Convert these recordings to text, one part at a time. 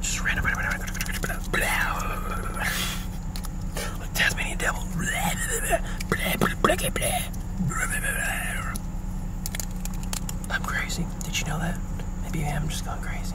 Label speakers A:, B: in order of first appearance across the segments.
A: Just random, random, random, random, blah. Like Tasmanian devil. Blah, blah, blah, blah, blah, blah, blah. I'm crazy. Did you know that? Maybe I'm just going crazy.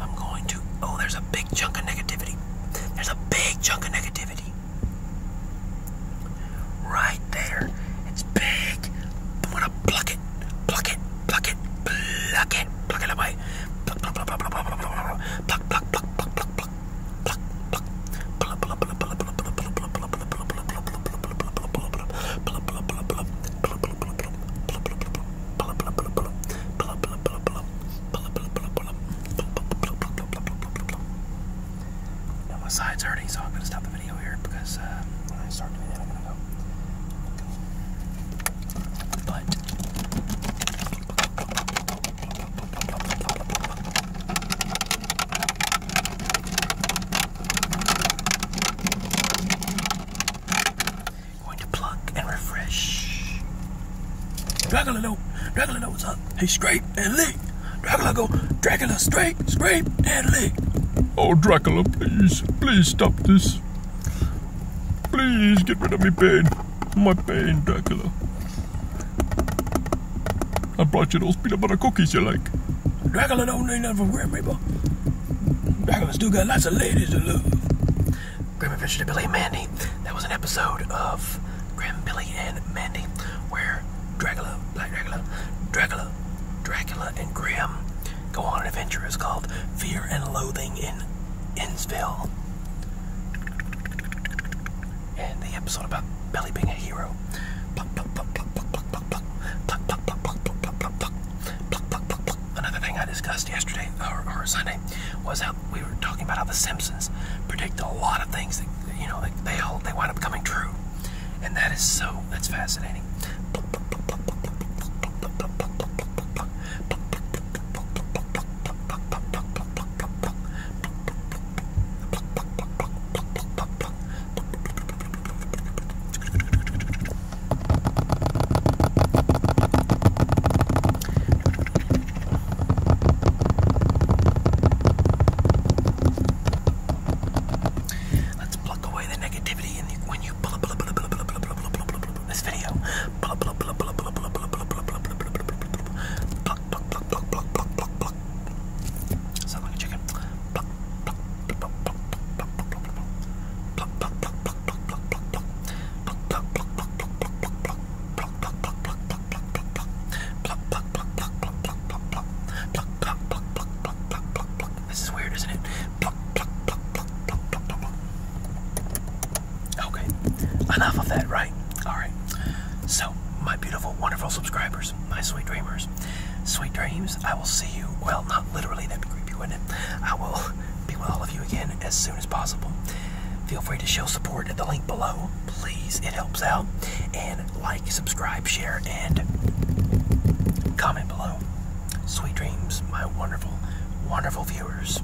A: I'm going to. Oh, there's a big chunk of negativity. There's a big chunk of negativity. Right there. It's big. I'm gonna pluck it. Pluck it. Pluck it. Pluck it. Pluck it away. Pluck, pluck, pluck, pluck, pluck, pluck, pluck, pluck, pluck, pluck, pluck, pluck, pluck. Now my side's hurting, so I'm gonna stop the video here because uh, when I start doing that, I'm gonna go. But Going to pluck and refresh. Dracula no, Dracula know what's up. He scrape and lick. Dracula go, Dracula scrape, scrape and lick. Oh Dracula, please, please stop this. Please get rid of me pain. My pain, Dracula. I brought you those peanut butter cookies you like. Dracula no, not need nothing from Grim know, Dragon got lots of ladies to love. Grim Adventure to Billy and Mandy. That was an episode of Grim, Billy, and Mandy where Dracula, Black Dracula, Dracula, Dracula, and Grim go on an adventure. It's called Fear and Loathing in Innsville. And the episode about Billy being a hero. Another thing I discussed yesterday or, or Sunday was how we were talking about how the Simpsons predict a lot of things that you know like they all they wind up coming true, and that is so that's fascinating. Let's pluck away the negativity in the, when you this video. This video. Sound like a chicken. This is weird, isn't it? Okay. Enough of that, right? All right. So, my beautiful, wonderful subscribers, my sweet dreamers, sweet dreams, I will see you. Well, not literally, that'd be creepy, wouldn't it? I will be with all of you again as soon as possible. Feel free to show support at the link below. Please, it helps out. And like, subscribe, share, and comment below. Sweet dreams, my wonderful, wonderful viewers.